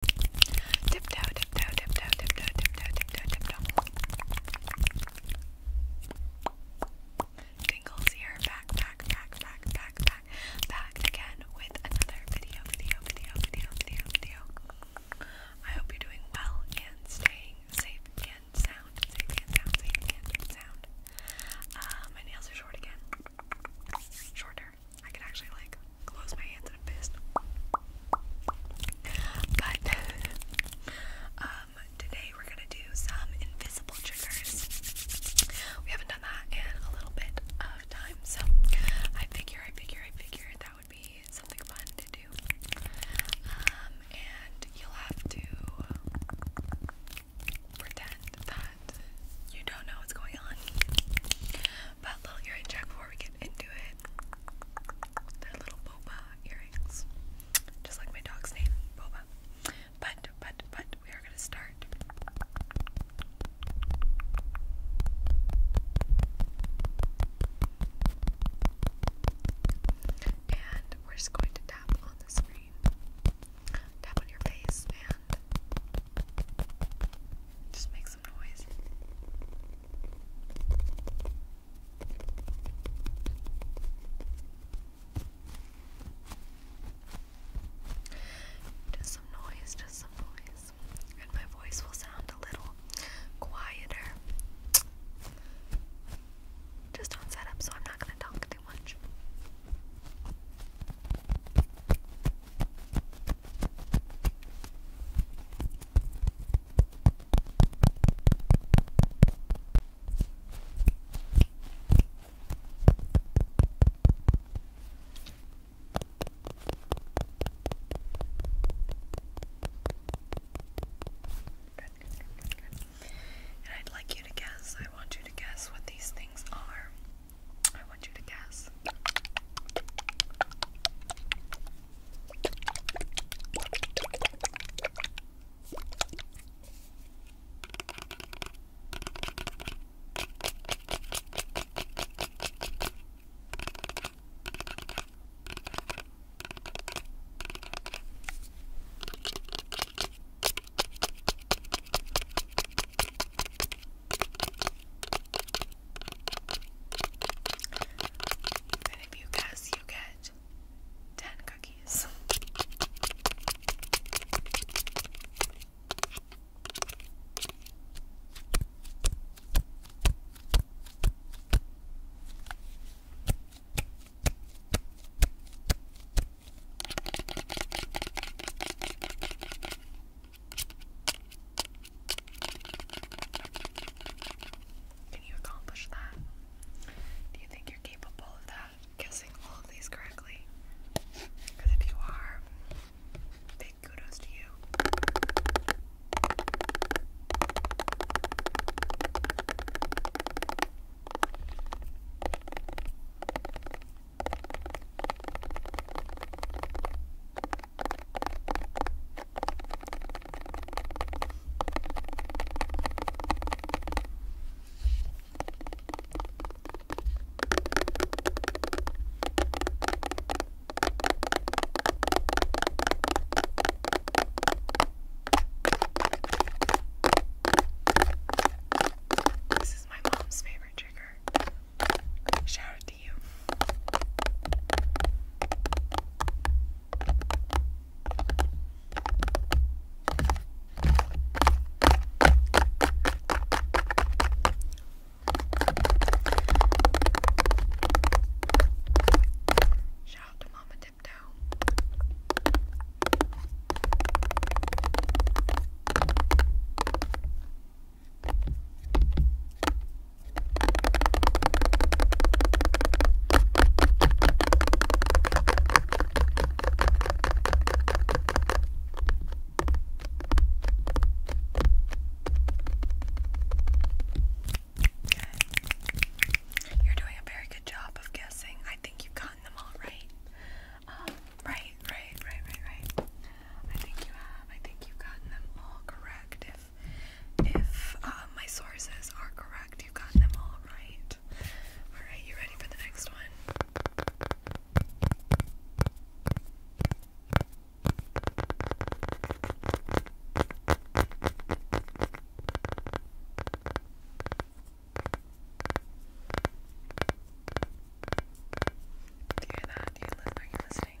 Tiptoe, tiptoe, tiptoe, back, back, back, back, back, back, back again with another video, video, video, video, video, video. I hope you're doing well and staying safe and sound, safe and sound, safe and sound. Uh, my nails are short again. Shorter, I can actually like close my hands in a fist. But um, today we're gonna do some invisible triggers. We haven't done that in a little bit of time, so I figure, I figure, I figure that would be something fun to do. Um, and you'll have to pretend that you don't know what's going on. But little earring before we get into it. They're little boba earrings. Just like my dog's name, Boba. But, but, but, we are going to start. And we're just going to tap on the screen. Tap on your face and just make some noise. Just some noise, just some noise. And my voice will sound a little quieter. Just on setup, so I'm not going to talk too much. And I'd like you to guess, I want you to guess what these things are. I want you to guess. And if you guess, you get 10 cookies. Can you accomplish that? Do you think you're capable of that? Guessing all of these correctly? Because if you are, big kudos to you. This is my mom's favorite trigger. Shout to you. Shout out to Mama Tiptoe. You're doing a very good job of guessing. I think you've gotten them all right. Um, Right, right, right, right, right. I think you have. I think you've gotten them all correct. If if uh, my sources are correct, you've gotten them all right. All right, you ready for the next one? Do you hear that? Do you li are you listening?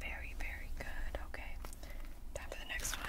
Very, very good. Okay. Time for the next one.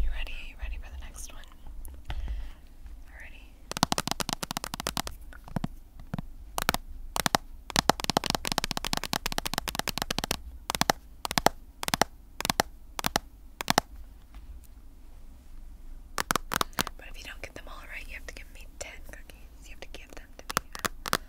You ready? You ready for the next one? Already. But if you don't get them all right, you have to give me ten cookies. You have to give want them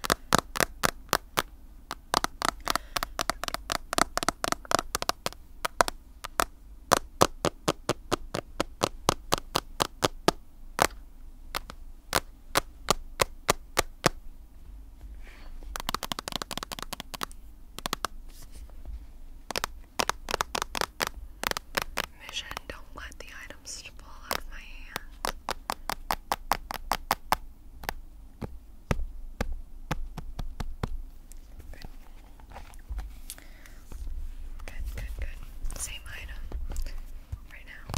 Mission, don't let the items to pull out my hand. Same item right now.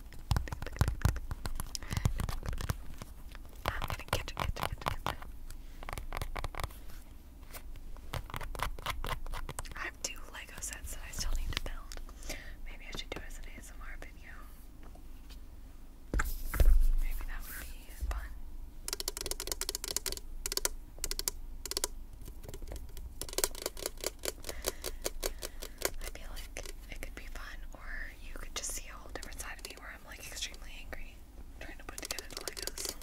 I'm gonna catch it, I have two Lego sets that I still need to build. Maybe I should do it as an ASMR video. Maybe that would be fun. I feel like it could be fun you could just see a whole different side of me where I'm like extremely angry. trying to put together the Legos.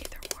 Either or.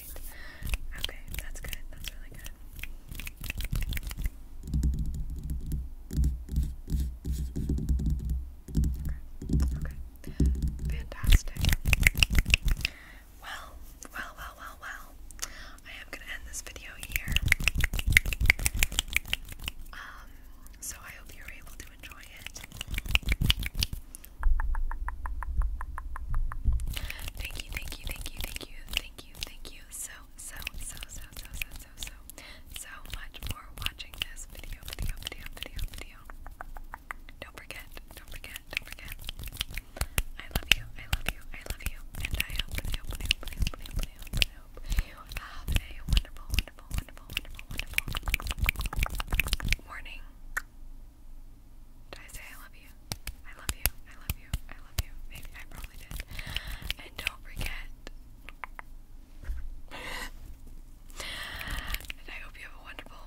right. Okay, that's good. That's really good. Okay. Fantastic. Well, well, well, well, well. I am gonna end this video here. Um, so I hope you were able to enjoy it. Thank you, thank you, thank you, thank you, thank you, thank you so, so, so, so, so, so, so, so, much for watching this video, video, video, video, video. Don't forget, don't forget, don't forget. I love you, I love you, I love you, and I hope, I I hope, I I hope, I hope, have a wonderful, wonderful, wonderful, wonderful, wonderful morning. Did I say I love you? I love you. I love you. I love you. Maybe I probably did. And don't forget. and I hope you have a wonderful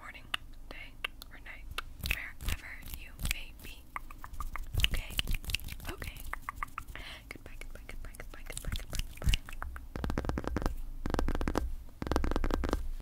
morning, day, or night, wherever you may be. Okay. Okay. Goodbye. Goodbye. Goodbye. Goodbye. Goodbye. Goodbye. Goodbye.